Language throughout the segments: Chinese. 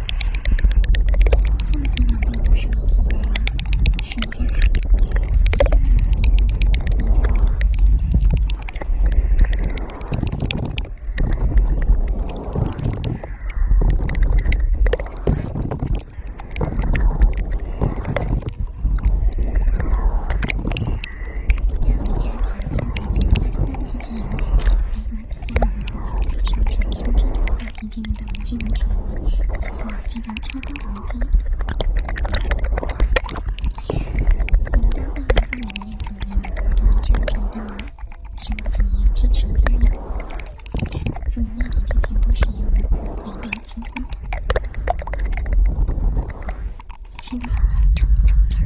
万物都是互联，世界和谐。在马路上捡到金子，打电话给民警，民警能处理。如果经常敲金子，你们的户口本里面有没有照片？到了，什么职业支持？在吗？如果报警，全部是由你来背金子。新的老二吵吵架。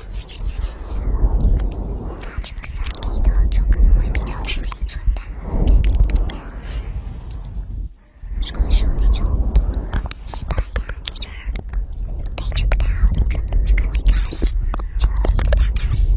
那这个三 D 的就可能会比较吃内存吧。如果说那种笔记本呀，那种配置不太好的，可能就可能会卡死，就特别卡卡死。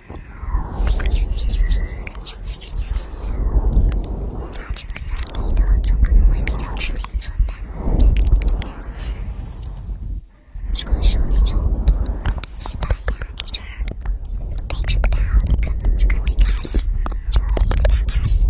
那这个三米的就可能会比较致命存在。如果说那种一米八呀那种配置不太好的，可能就可能会卡死，致命的卡死。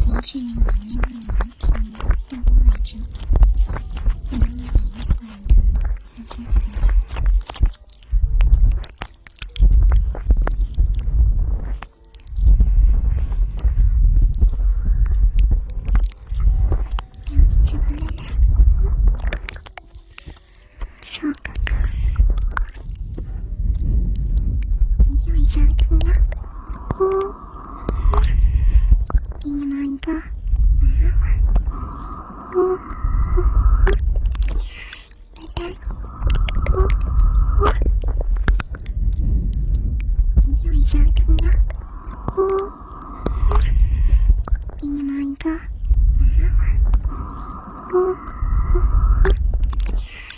从去年老鹰的鸟儿停，目光里直，不能不感到怪异，又多了一点情。要直播了吗？上课。明天晚上做吗？いいないか。いいないか。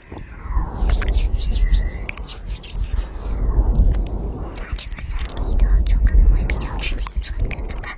那这个三 D 的就可能会比较吃内存，对吧？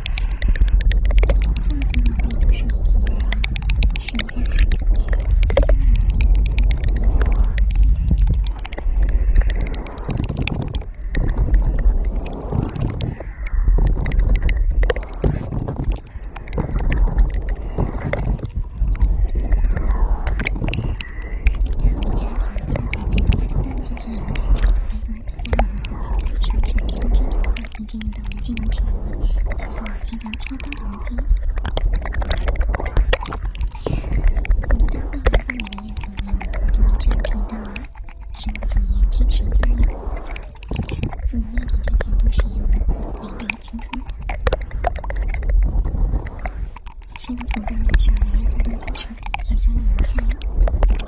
画在笔上，画家手起笔尖，我。已经有的文件能处理，当做经常安装的文件。文档内容分为了两部分，第一部分提到了三种盐支持加料，如果液体全部使用了两倍清水的话，相同下量下两种东西产生的盐下药。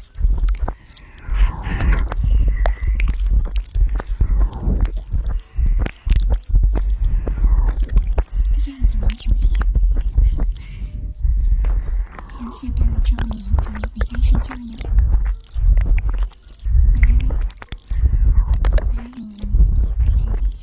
大家还在玩手机？要下班了，周爷早点回家睡觉呀！爱你，爱你，白眼睛。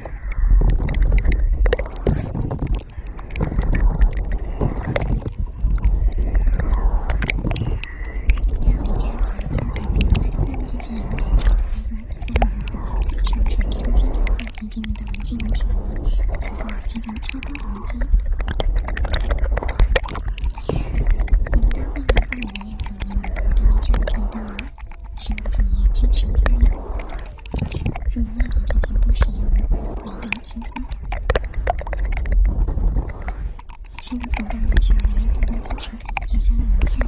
家里家外都干净，从内部去看，门窗、开关、灯泡、插座、电器、手电、镜子、客厅镜子、插座经常抽空黄金。你们单位购买的业主们，你们这可以到。直播行业支持内容。入麦宝直播间，不收任何广告费。新朋友欢迎来麦宝直播间，直播间有福利。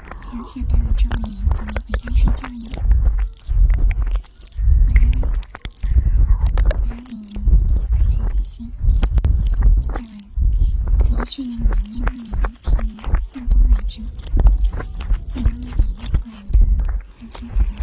刚下班了大雨，早点回家睡觉呀。晚安，晚安，李子欣。今晚可以去那个音乐厅唱歌来着，不能晚点过来，我得把灯关了。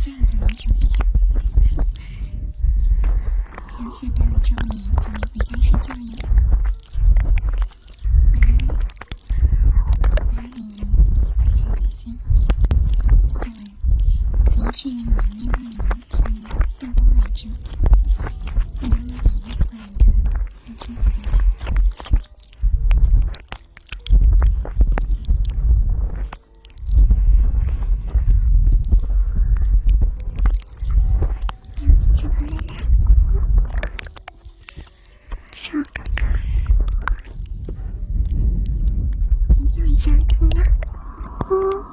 现在怎么休息？要下班了，周宇，早点回家睡觉呀。八八零六，再见，晶。今晚，体育训练，运动员。我爱吃。我妈妈也怪的。我哥哥的。我要吃完了。上